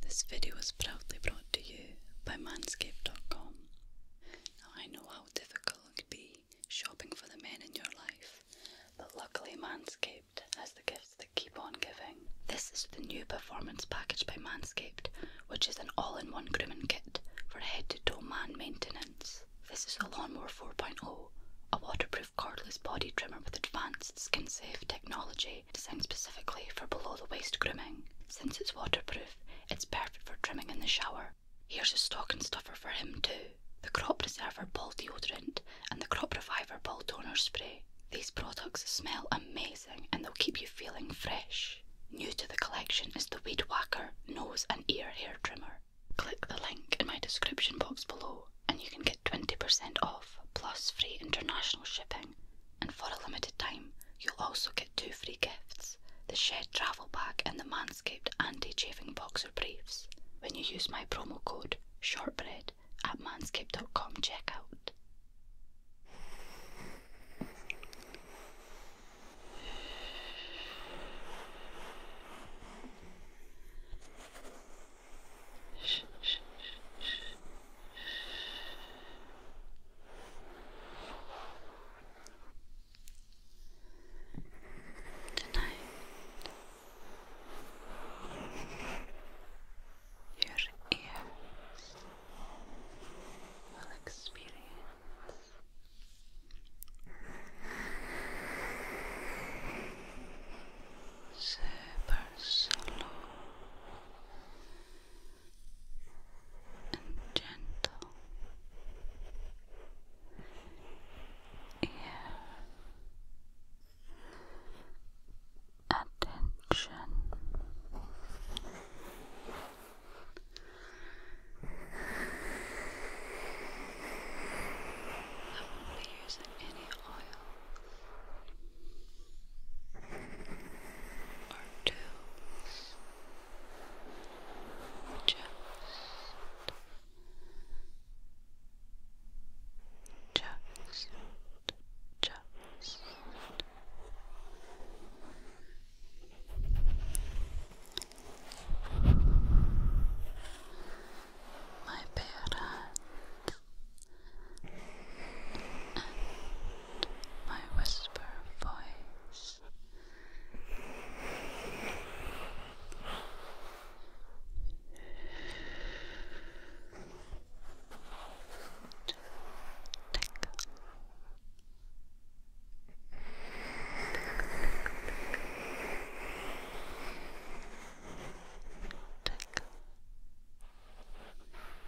This video is proudly brought to you by Manscaped.com. Now, I know how difficult it can be shopping for the men in your life, but luckily, Manscaped has the gifts that keep on giving. This is the new Performance Package by Manscaped, which is an all in one grooming kit for head to toe man maintenance. This is the Lawnmower 4.0, a waterproof cordless body trimmer with advanced skin safe technology designed specifically for below the waist grooming. Since it's waterproof, it's perfect for trimming in the shower. Here's a stocking stuffer for him too. The Crop Reserver Ball Deodorant and the Crop Reviver Ball Toner Spray. These products smell amazing and they'll keep you feeling fresh. New to the collection is the Weed Whacker Nose and Ear Hair Trimmer. Click the link in my description box below and you can get 20% off plus free international shipping and for a limited time, you'll also get two free gifts the Shed Travel Bag and the Manscaped Anti Chafing Boxer Briefs when you use my promo code SHORTBREAD at manscaped.com checkout. Tonight, your ears will experience super slow and gentle. Yeah. Attention. I won't be using any oil or toes just just just my bare and my whisper voice. Tickle. Tickle your ears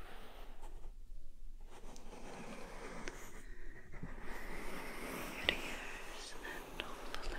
and hopefully tingles. Tingles, tingles.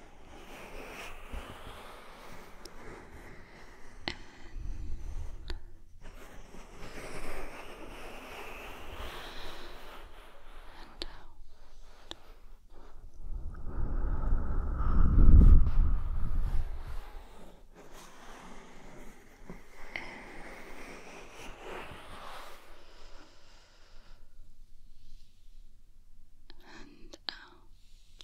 And and out. And out.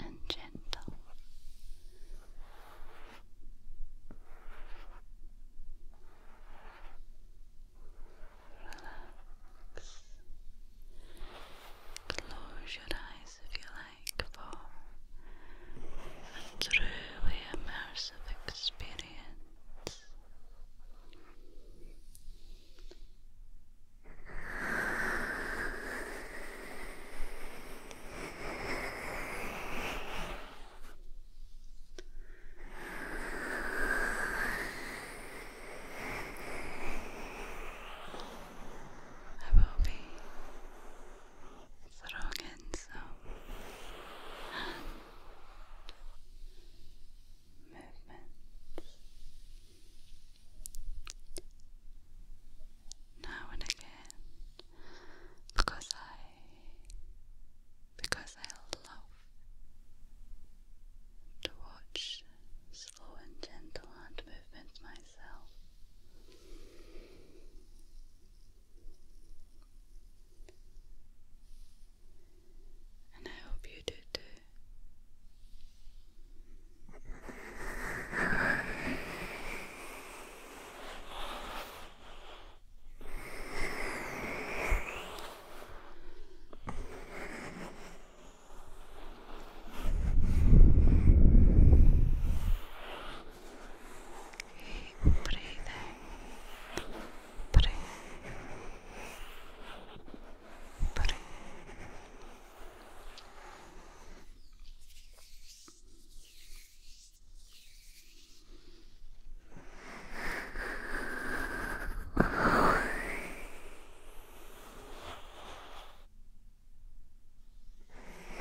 and gentle. Relax. Close your eyes if you like for a truly immersive experience. I will be strong and so and movements now and again because I because I love to watch slow and gentle hand movements myself and I hope you do too. Keep breathe,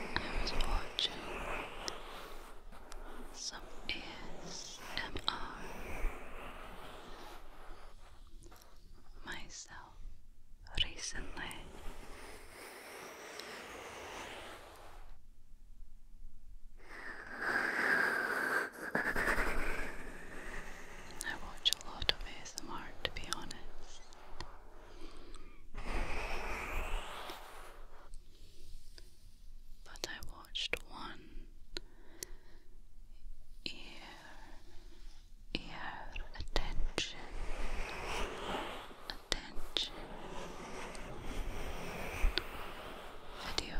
I was watching some ASMR myself recently. I watch a lot of ASMR to be honest. But I watched one your attention, attention, video,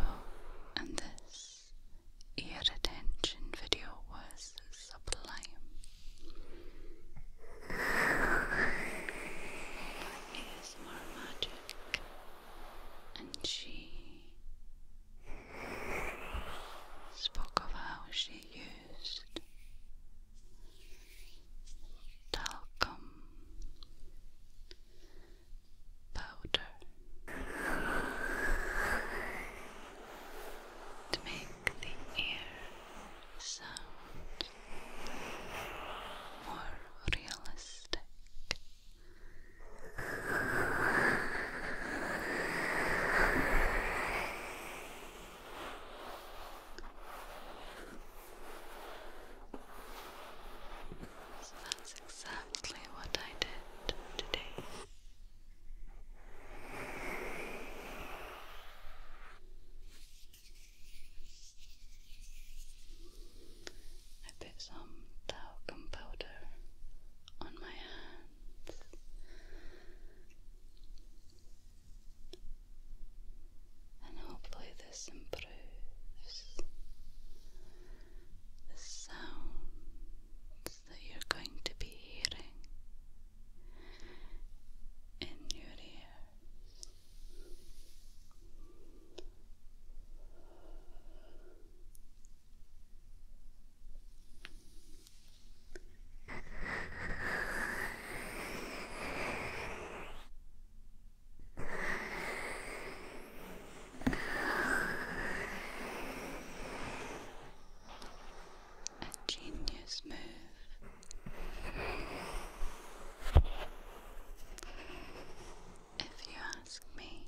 and this ear attention video was sublime. Is more magic, and she spoke of how she used talcum powder to make the air sound more realistic so that's exactly what I did today. I put some talcum powder on my hand. And hopefully, this improves the sounds that you're going to be hearing in your ears. A genius move. If you ask me,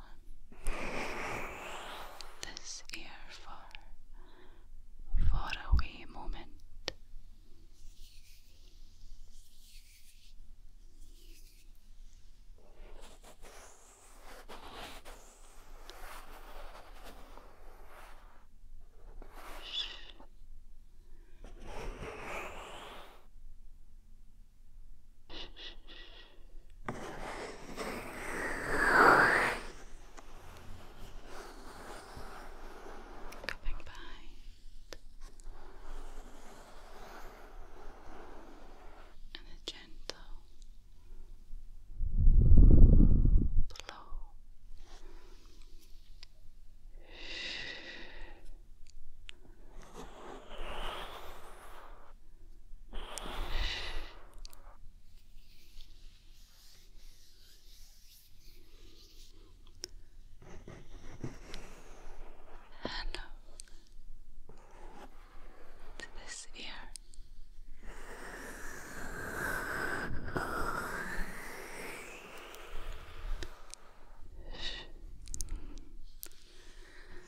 this ear for for a wee moment. Coming behind and a gentle blow. Hello to this ear.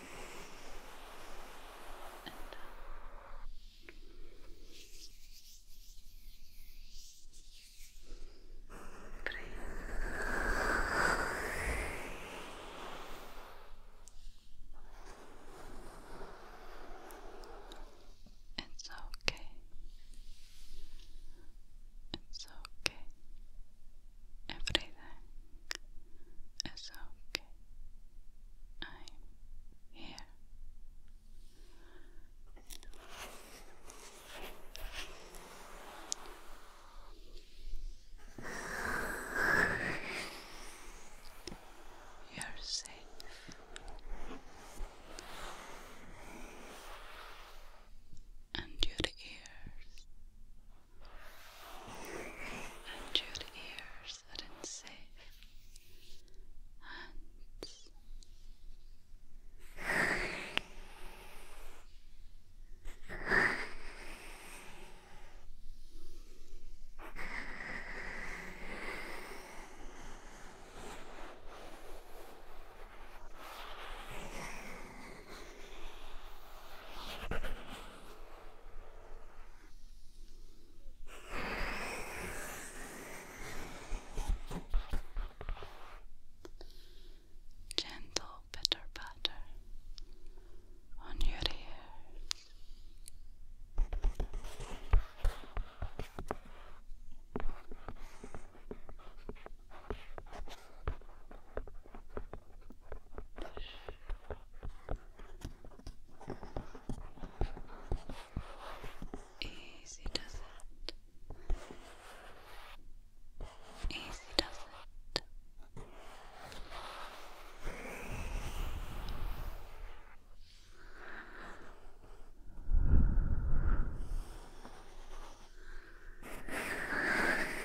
and breathe. It's okay. It's okay. Everything is okay. I'm here. You're safe. And your ears and your ears are in safe hands. Gentle pitter patter on your ear. Easy does it. Easy does it.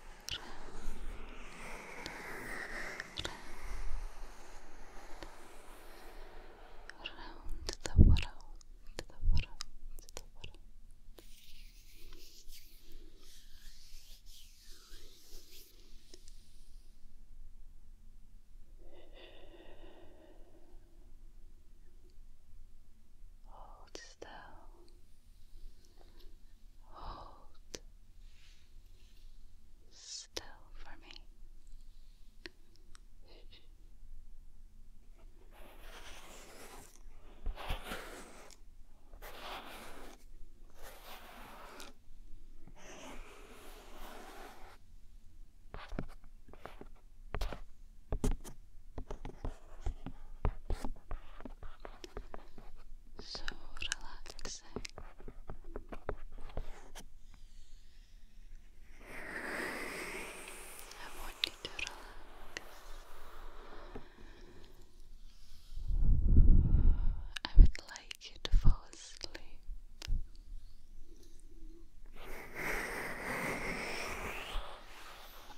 round the world, the world, the world. Hold still. Hold still for me so relaxing. I want you to relax. I would like you to fall asleep.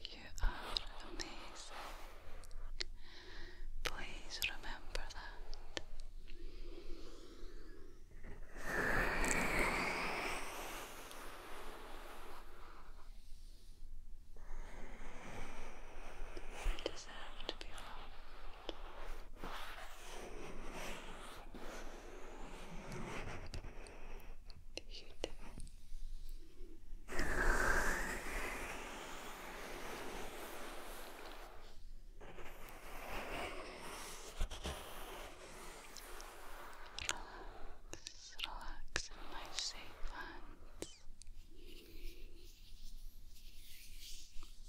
You are amazing. Please remember that. You deserve to be loved. Relax, relax in safe hands.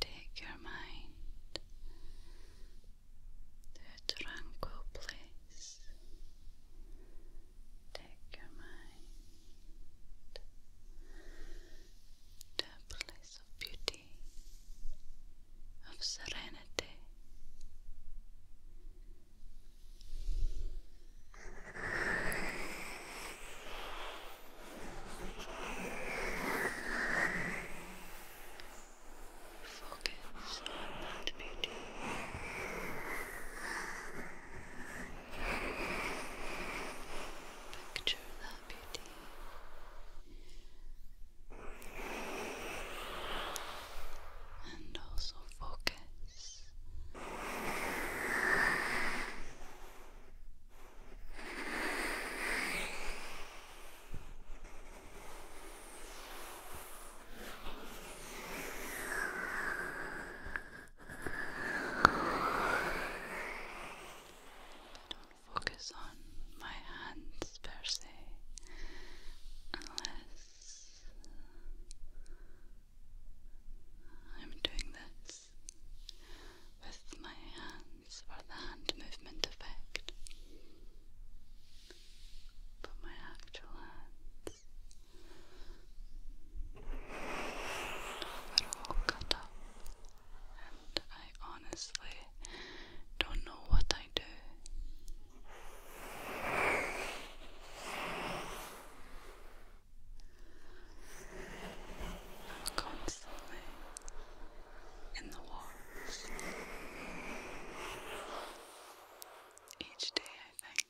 Take your mind the tranquil place. Take your mind to a place of beauty, of serenity. Focus on that beauty. Picture that beauty. And also focus don't focus on my hands per se, unless I'm doing this with my hands hands for the hand movement effect. But my actual hands are all cut up, and I honestly don't know what I do. I'm constantly in the walls. Each day I think,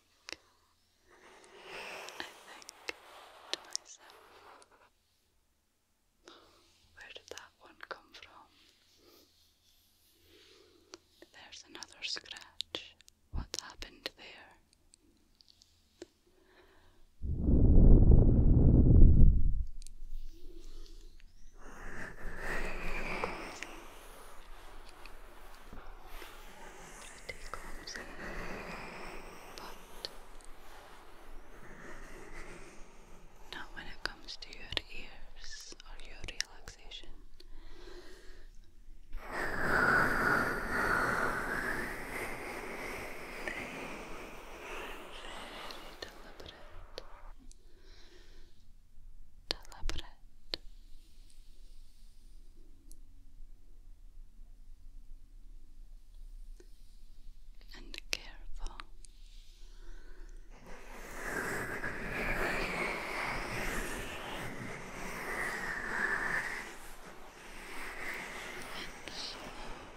I think to myself, where did that one come from? There's another scratch. What happened there? Take clumsy, but not when it comes to your ears or your relaxation. Very deliberate deliberate and careful.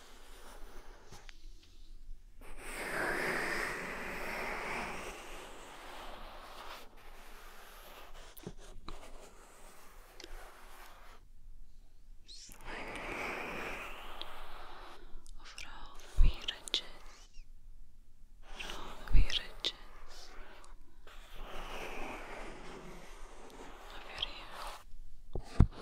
For all the wee riches, for all the wee riches of your ear.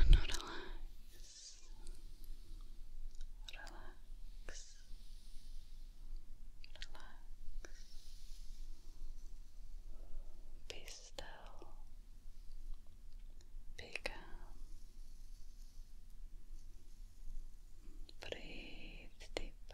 And relax. Relax. Relax. Be still. Be Breathe deeply.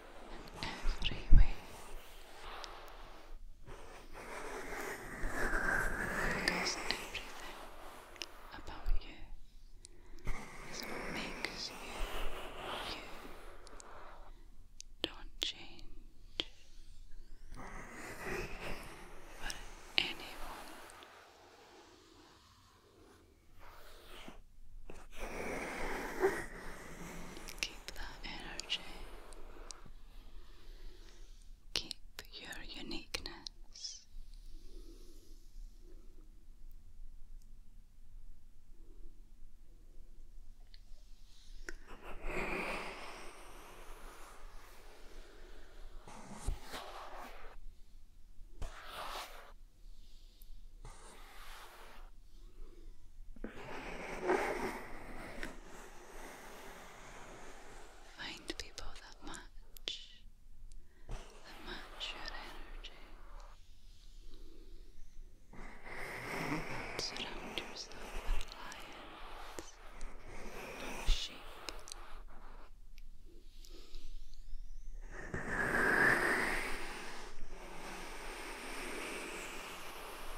everywhere. Because everything about you is makes you you. Don't change for anyone. Keep the energy. Keep your uniqueness. Find people that match, that match your energy. Surround yourself with lions, not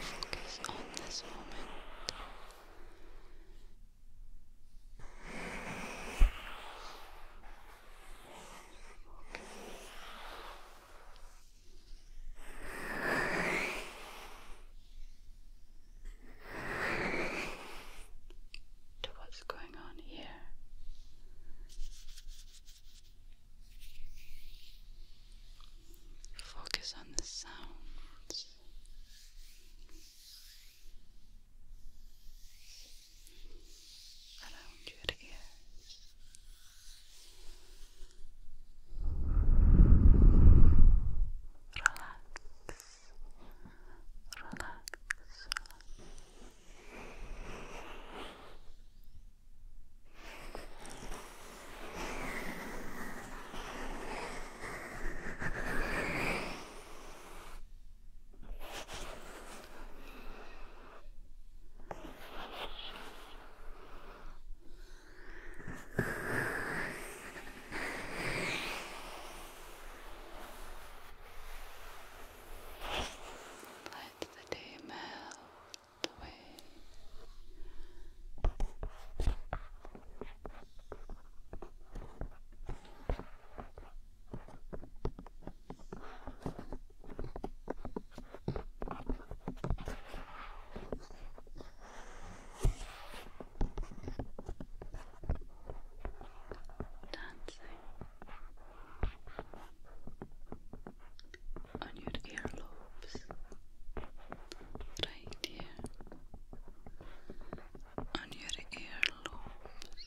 Focus on this moment. To what's going on here. Focus on the sounds. Around your ears. relax, relax. Let the day melt the Dancing on your earlobes, right here, on your earlobes.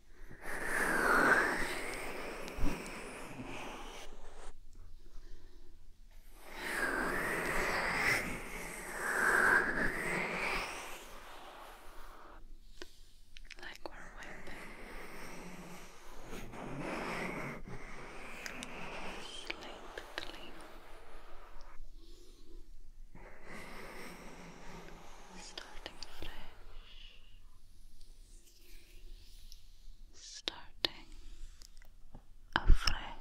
Like we're wiping sleep clean. Starting fresh starting afresh.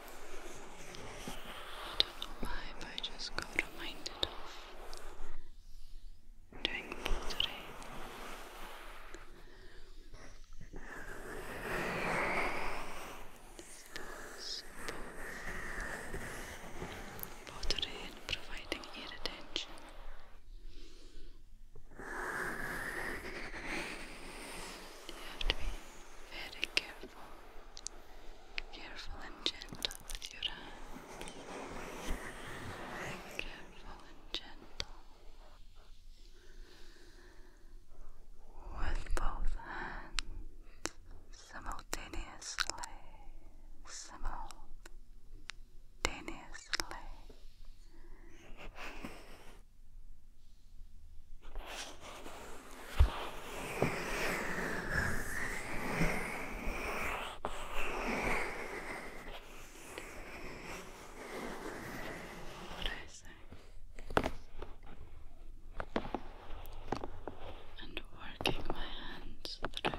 I don't know why, but I just got reminded of doing today. So, and providing ear You have to be very careful Careful and gentle with your hand. Careful and gentle. With both hands simultaneously. Simultaneously. What I say? And working my hands through bench.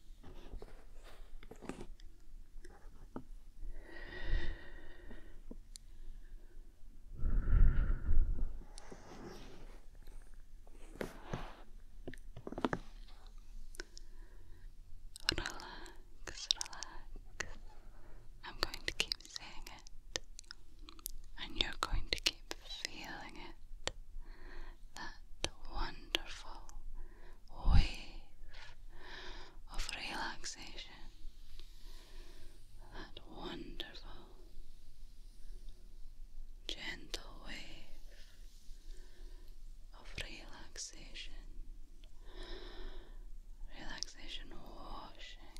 Relax, relax. I'm going to keep saying it, and you're going to keep feeling it that wonderful wave of relaxation, that wonderful, gentle wave of relaxation. Relaxation washing.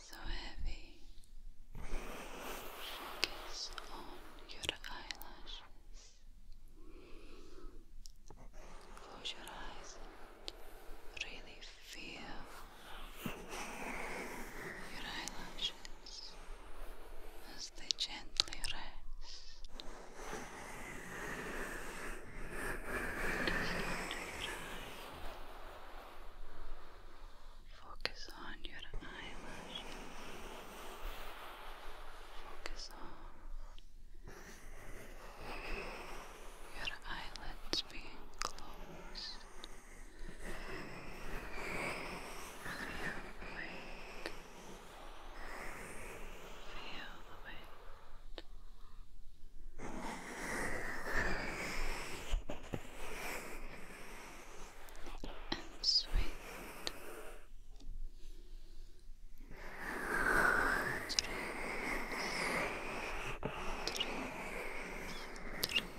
so heavy. Focus on your eyelashes. Close your eyes really feel your eyelashes as they gently rest. Just your eye. Focus on your eyelashes. Focus on your eyelids being closed. Feel the weight. Feel the weight and sweet dreams, dreams, dreams.